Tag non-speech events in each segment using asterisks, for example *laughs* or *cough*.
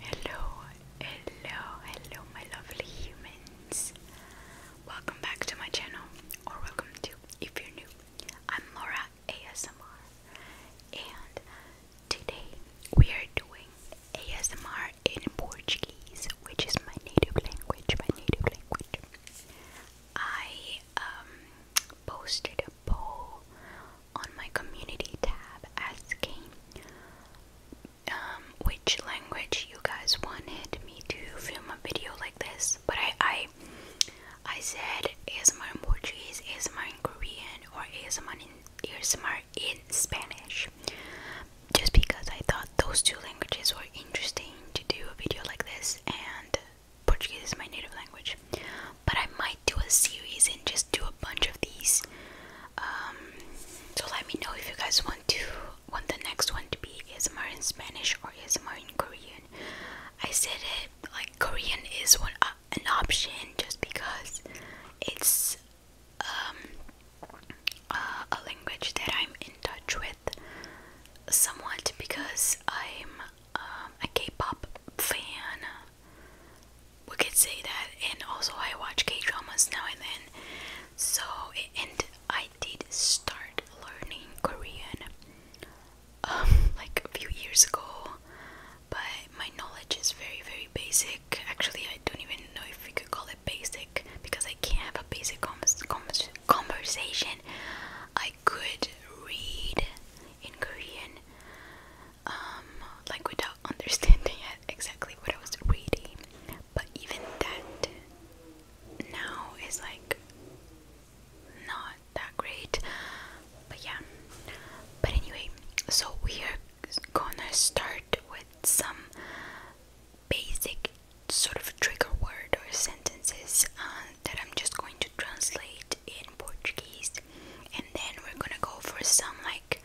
Hello, hello, hello, my lovely humans. Welcome back to my channel, or welcome to if you're new. I'm Laura ASMR, and today we are doing ASMR in Portuguese, which is my native language. My native language. I um, posted a poll on my community tab asking um, which language you guys wanted me to film a video like this. But I, I, I said ASMR in Portuguese, ASMR in Korean, or ASMR in, ASMR in Spanish. Just because I thought those two languages were interesting to do a video like this, and Portuguese is my native language. But I might do a series and just do a bunch of these um, so let me know if you guys want to want the next one to be ASMR in Spanish or ASMR in Korean. I said it like Korean is one uh, an option just because it's um, uh, a language that I'm in touch with somewhat because I'm um, a K-pop fan we could say that. And also, I watch K dramas now and then. So, and I did start learning Korean um, *laughs* like a few years ago, but my knowledge is very, very basic. Actually, I don't even know if we could call it basic because I can't have a basic conversation. I could read in Korean, um, like without *laughs* understanding exactly what I was reading. But even that now is like not that great. But yeah. But anyway, so we are gonna start with some basic sort of trigger word or sentences uh, that I'm just going to translate in Portuguese, and then we're gonna go for some like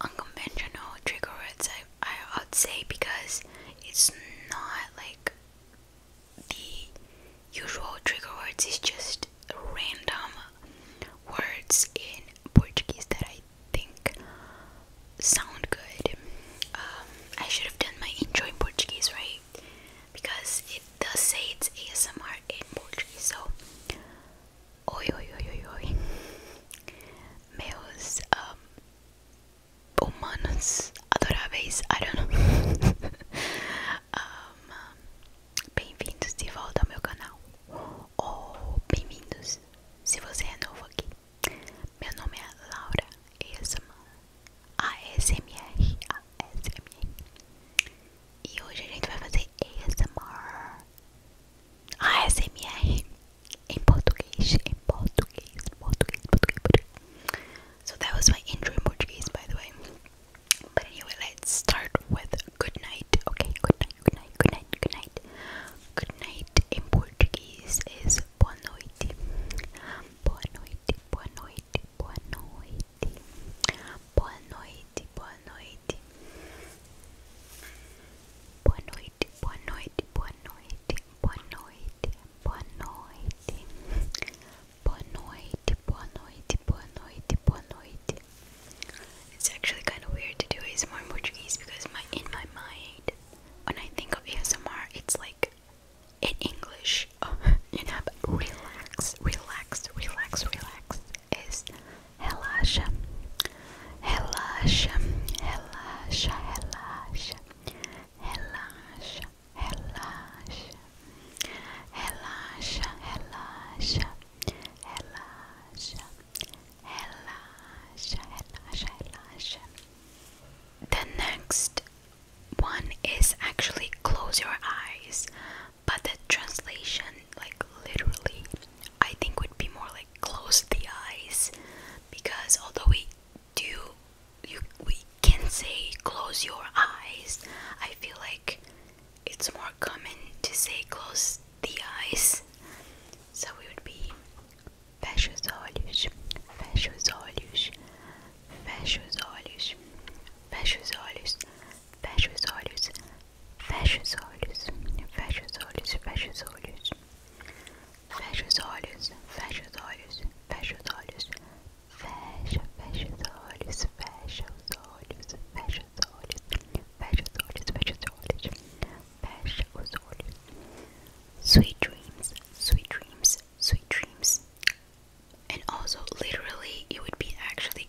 unconventional trigger words I, I would say because it's not like the usual trigger words is just random words in Portuguese that I think sound good. Um, I should have done my intro in Portuguese, right? Because it does say it's ASMR in Portuguese, so Oi, oi, oi, oi, oi. Meus humanos adoráveis, I *laughs* bem-vindos de volta ao meu canal. Ou bem-vindos se você é novo aqui. Meu nome é Laura ASMR. ASMR. E hoje a gente vai fazer ASMR. ASMR em português, em português, português, português, So that was my intro in Portuguese, by the way. But anyway, let's start with good night. Okay, good night, good night, good night, good night. Good night in Portuguese is boa noite. Boa noite, boa noite, boa noite boa noite, boa noite. Boa noite, boa noite, boa noite, boa noite, boa noite. Boa noite, boa noite, boa noite, boa noite. It's actually kind of weird to do ASMR in Portuguese because my in my mind, when I think of ASMR, it's like in English, oh, *laughs* you know, but relax, relax, relax, relax is relaxa, relaxa, relaxa, relaxa, relaxa, relaxa, relaxa, relaxa, relaxa, relaxa, relaxa, relaxa. The next one is actually close your eyes but the translation like literally I think would be more like close the eyes because although we do you we can say close your eyes I feel like it's more common to say close the eyes so it would be fecha os olhos fecha os olhos fecha os fecha os olhos, fecha os olhos, fecha os olhos, fecha os olhos, fecha os olhos, fecha os olhos, fecha os olhos, fecha, fecha os olhos, fecha os olhos, fecha os olhos, fecha os olhos, fecha os olhos, fecha os olhos. Sweet dreams, sweet dreams, sweet dreams. And also, literally, it would be actually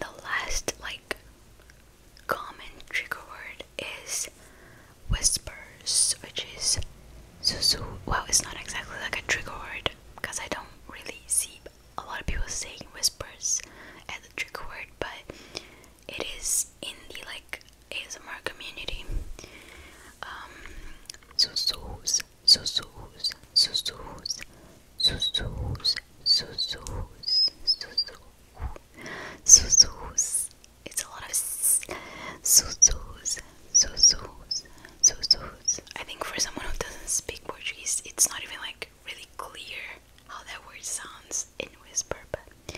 the last like common trigger word is whispers, which is susu. Well, it's not exactly like a trigger word because I don't really see a lot of people saying whispers as a trigger word, but it is in the like ASMR community. Um, susus sussurros, sussurros, sussurros, sussurros, sussurros. It's a lot of sussurros, sussurros, sussurros. I think for someone who doesn't speak Portuguese, it's not even like really clear how that word sounds in whisper, but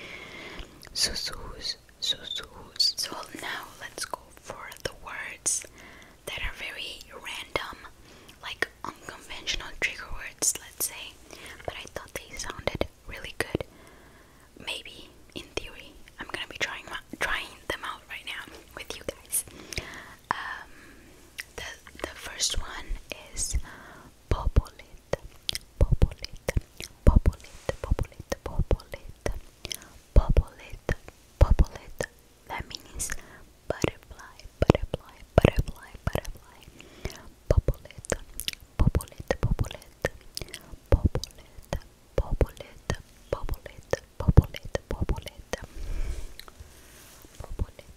sussurros, sussurros. So now let's go for the words that are very random, like like unconventional trigger words, let's say, but I thought they sounded really good. Maybe in theory, I'm gonna be trying trying them out right now with you guys. Um, the the first one is popolit, popolit, popolit, popolit, popolit, popolit, popolit, that means butterfly, butterfly, butterfly, butterfly. Popolet, popolet, popolet, popolet, popolet, popolet, popolet, popolet, popolet,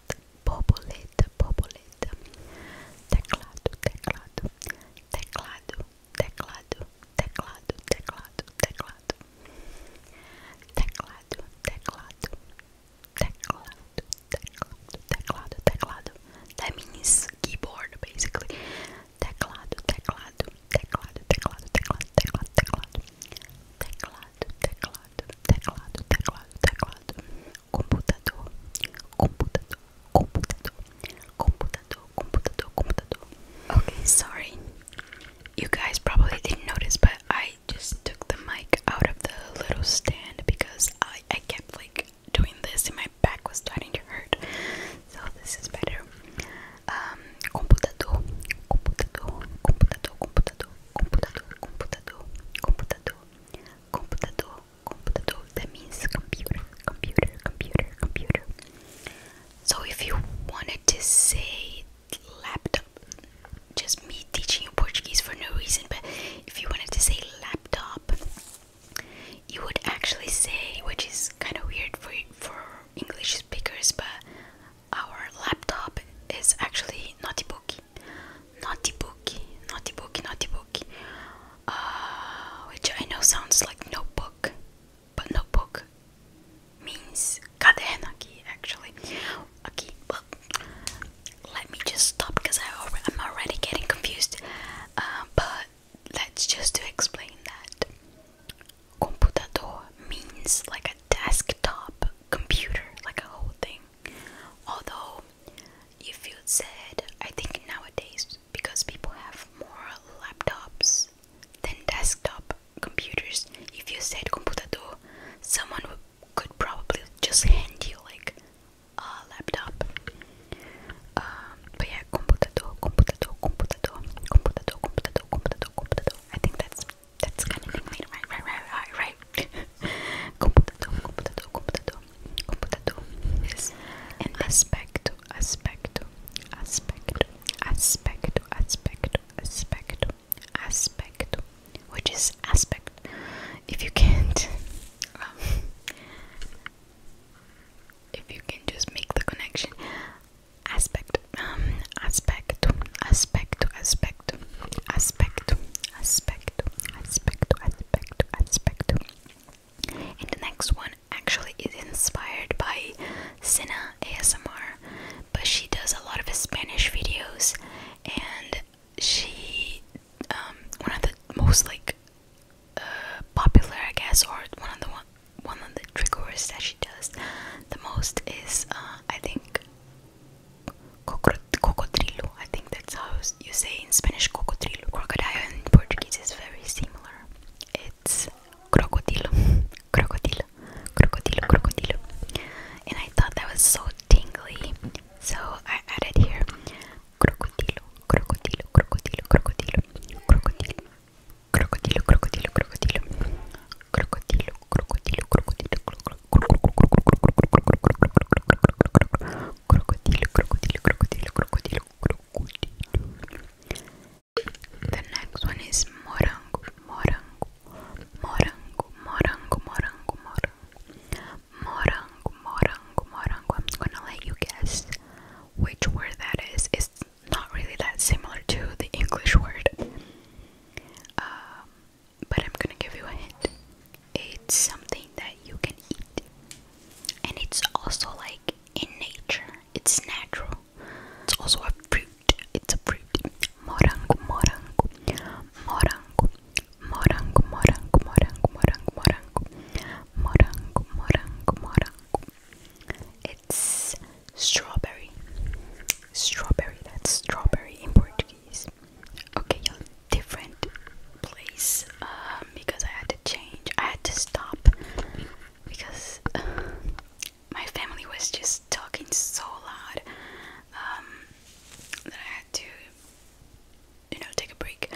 popolet, popolet. Teclado, teclado, teclado, teclado, teclado, teclado, teclado. Teclado, teclado, Teclado, teclado, teclado, teclado. That means keyboard basically. Teclado, teclado, teclado, teclado, teclado, teclado, teclado. Teclado, teclado, teclado, teclado, teclado. Computador, computador, computador, computador, computador, computador. Okay, sorry. You guys probably didn't notice, but I just took the mic out of the little stand because I, I kept like doing this and my back was starting to hurt. So this is better. Um, computador, computador, computador, computador, computador, computador, computador, computador. That means computer, computer, computer, computer. So if you wanted to say laptop. Just me teaching you Portuguese for no reason, but if you wanted to say laptop, you would actually say, which is kind of weird for for English speakers, but our laptop is actually notebook, notebook, notebook, notebook, uh, which I know sounds like notebook, but notebook means cadena key actually. Okay, well, let me just stop because I'm already getting confused. Uh, but let's just explain that computador means like a desktop computer, like a whole thing. Although, if you said, I think nowadays because people have more laptops than desktop computers, if you said computador, someone would could probably just hand you like a laptop. Um, but yeah, computador, computador, computador, computador, computador, computador, computador. I think that's that's kind of thing, right, right, right, right, right, *laughs* computador, computador, computador, computador. Yes. aspecto, aspecto, aspecto, aspecto, aspecto, aspecto, aspecto, which is aspect. If you can't, um, *laughs* if you can just make the connection, aspect, um, aspect, aspect, aspect, aspect, aspect, aspect, aspect, aspect. And the next one actually is inspired by Sina ASMR but she does a lot of Spanish videos, and she um, one of the most like uh, popular, I guess, or one of the one, one of the triggers that she does the most is uh, I think cocodrilo. I think that's how you say in Spanish cocodrilo. Crocodile in Portuguese is very similar. It's crocodilo, *laughs* crocodilo crocodilo, crocodilo. And I thought that was so tingly, so I added here crocodilo, crocodilo, crocodilo, crocodilo, crocodilo, crocodilo, crocodilo, crocodilo, crocodilo, crocodilo, crocodilo, crocodilo, crocodilo, crocodilo, crocodilo, crocodilo, crocodilo. The next one is morango, morango, morango, morango, morango, morango, morango, morango, morango. I'm gonna let you guess which word that is. It's not really that similar to the English word, um, but I'm gonna give you a hint. It's something that you can eat, and it's also like in nature. It's natural. It's also a fruit it's a Morango, morango, morango, morango, morango, morango, morango, morango, morango, morango, It's strawberry, strawberry. That's strawberry in Portuguese. Okay, y'all, different place uh, because I had to change. I had to stop because uh, my family was just talking so loud um, that I had to, you know, take a break.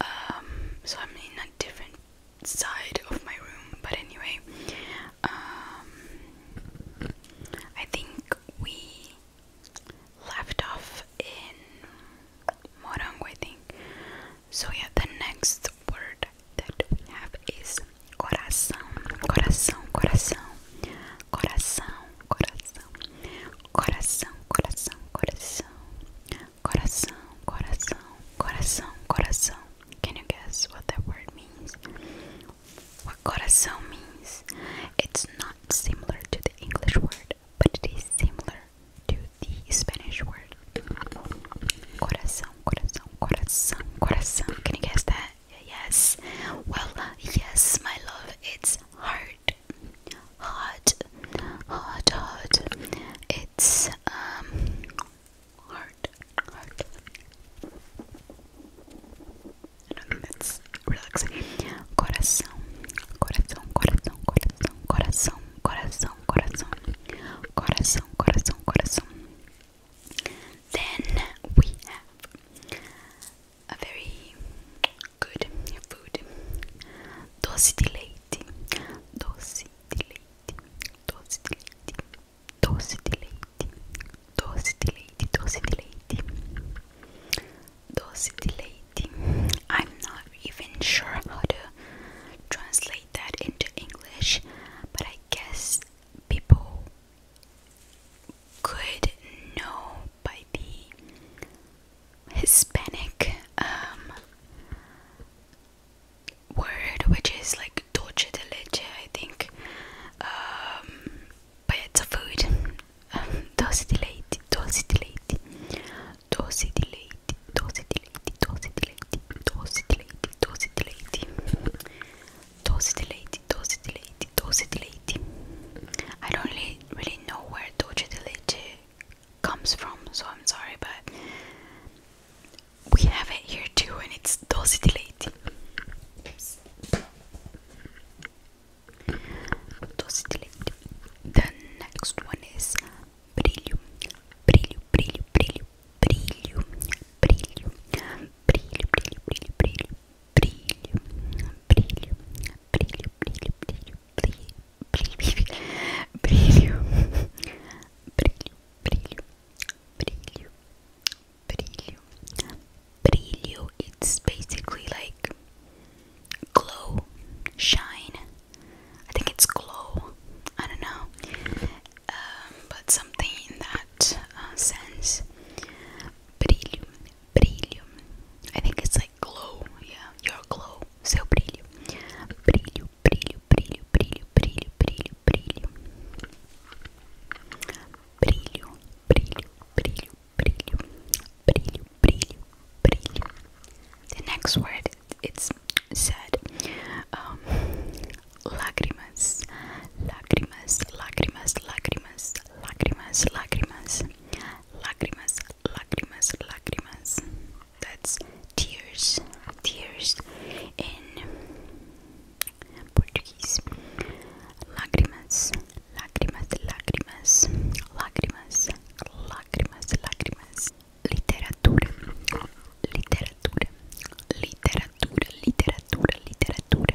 Um, so I'm in a different side of my room, but anyway, um, I think we left off in Morango, I think. So yeah, the next word that we have is coração, coração, coração, coração, coração, coração, coração, coração, coração, coração, coração, coração. Can you guess what that word means? What coração means? It's not similar to the English word, but it is similar to the Spanish word. Coração, coração, coração, coração. Can you guess that? yes. Well, yes, my love, it's hard. Hard. Hard, hard. It's, um, hard. Hard. It's relaxing. Coração. Coração, coração, coração, coração, coração, coração. Coração, coração, coração. Then we have a very good food. Doce de leite. Doce de leite. Doce I'm not even sure how to translate that into English, but I guess people could know by the Hispanic um, word, which is like dulce de leche, I think. Um, but it's a food. Um, dulce de leite, dulce de leite, dulce de leite, dulce de leite, dulce de leite, dulce de leite, dulce de leite. Tozidilate, tozidilate, tozidilate. I don't really, really know where tozidilate comes from, so I'm sorry, but we have it here too, and it's tozidilate. Tozidilate. The next one is brillium, brillium, brillium, brillium, brillium, brillium, brillium, brillium, brillium, brilho, brilho, brilho, brilho, brilho, brilho, brilho, brilho, brilho, brilho, It's basically like glow, shine. I think it's glow. I don't know, um, but something in that uh, sense brilho, brilho. I think it's like glow, yeah, your glow. Seu brilho, brilho, brilho, brilho, brilho, brilho, brilho, brilho, brilho, brilho, brilho, brilho, The next word, it's sad. Um, lágrimas, lágrimas, lágrimas, lágrimas, lágrimas, lágrimas, lágrimas, lágrimas, lágrimas. That's tears, tears in Portuguese. Lágrimas, lágrimas, lágrimas, lágrimas, lágrimas, lágrimas. Literatura, literatura, literatura, literatura, literatura.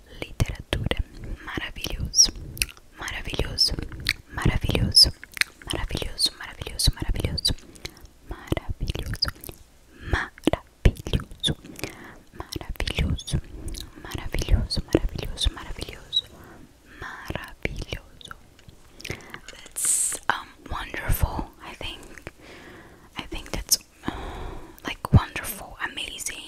literatura. Maravilhoso, maravilhoso, maravilhoso, maravilhoso, maravilhoso, maravilhoso, maravilhoso, maravilhoso, maravilhoso, maravilhoso, maravilhoso, maravilhoso, maravilhoso. That's um wonderful. I think. I think that's uh, like wonderful, amazing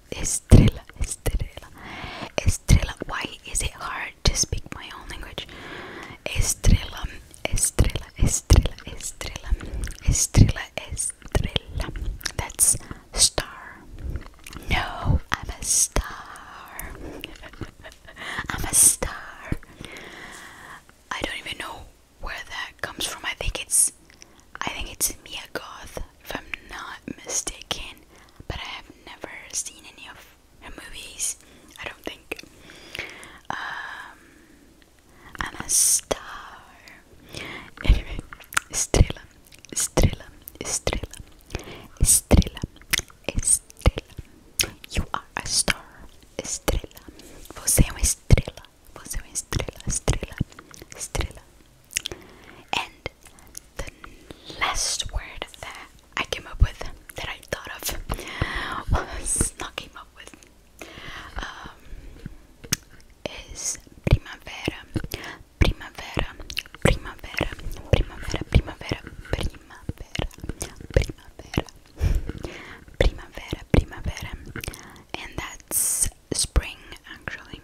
Estrella, Estrella, Estrella. Why is it hard to speak my own language? Estrella, Estrella, Estrella, Estrella, Estrella, Estrella. That's star. No, I'm a star. *laughs* I'm a star. I don't even know where that comes from. I think it's, I think it's Mia Goth if I'm not mistaken, but I have never seen any of her movies, I don't think. Um, a star. Anyway, Estrella, Estrella, Estrella, Estrella, Estrella. You are a star, Estrella. Você é uma estrela, você é uma estrela, estrela, estrela. And the last word that I came up with, that I thought of, was not came up with, um, is primavera, primavera, primavera, primavera, primavera, primavera, primavera, primavera, primavera, and that's spring actually.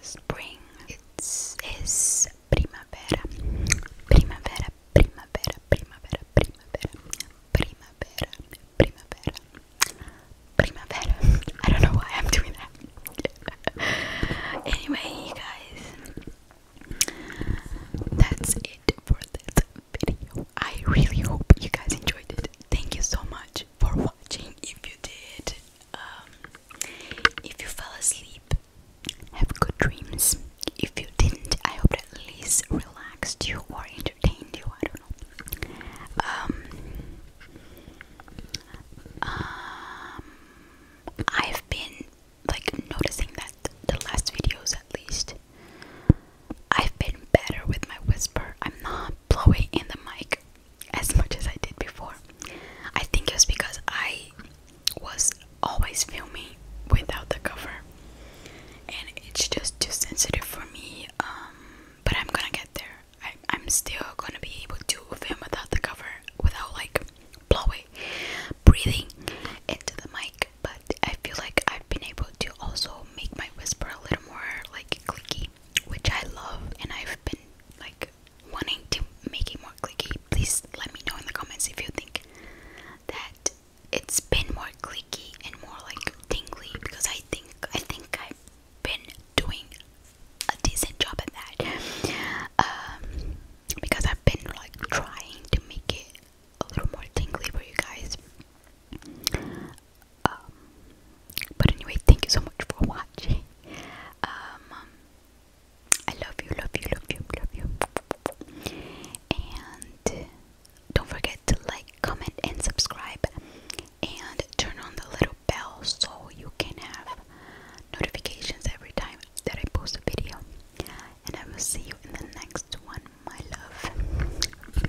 Spring. It's is primavera. Primavera, primavera, primavera, primavera, primavera, primavera, primavera. I don't know why I'm doing that. *laughs* anyway, you guys, that's it for this video. I really hope you guys enjoyed it. Thank you so much for watching. If you did, um, if you fell asleep, have good dreams. If you didn't, I hope that at least relaxed you or entertained you. I don't know. Um, um, I've been like noticing that the last videos, at least, I've been better with my whisper. I'm not blowing in the mic as much as I did before. I think it was because I was always filming without the cover, and it's just too sensitive for me. Um, but I'm gonna get there. I'm still gonna be able to film without the cover, without like blowing, breathing into the mic. But I feel like I've been able to also make my whisper a little more like clicky, which I love, and I've been like wanting to make it more clicky, please let me know in the comments if you think that it's been more clicky and more like tingly because I think I think I've been doing a decent job at that. Um, because I've been like trying to make it a little more tingly for you guys. Um, but anyway, thank you so much for watching. Um, I love you, love you, love you, love you. And don't forget to like, comment, and subscribe. And turn on the little bell so you can have notifications every time that I post a video. And I will see you in the next one, my love.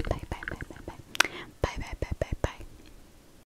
Bye, bye, bye, bye, bye. Bye, bye, bye, bye, bye.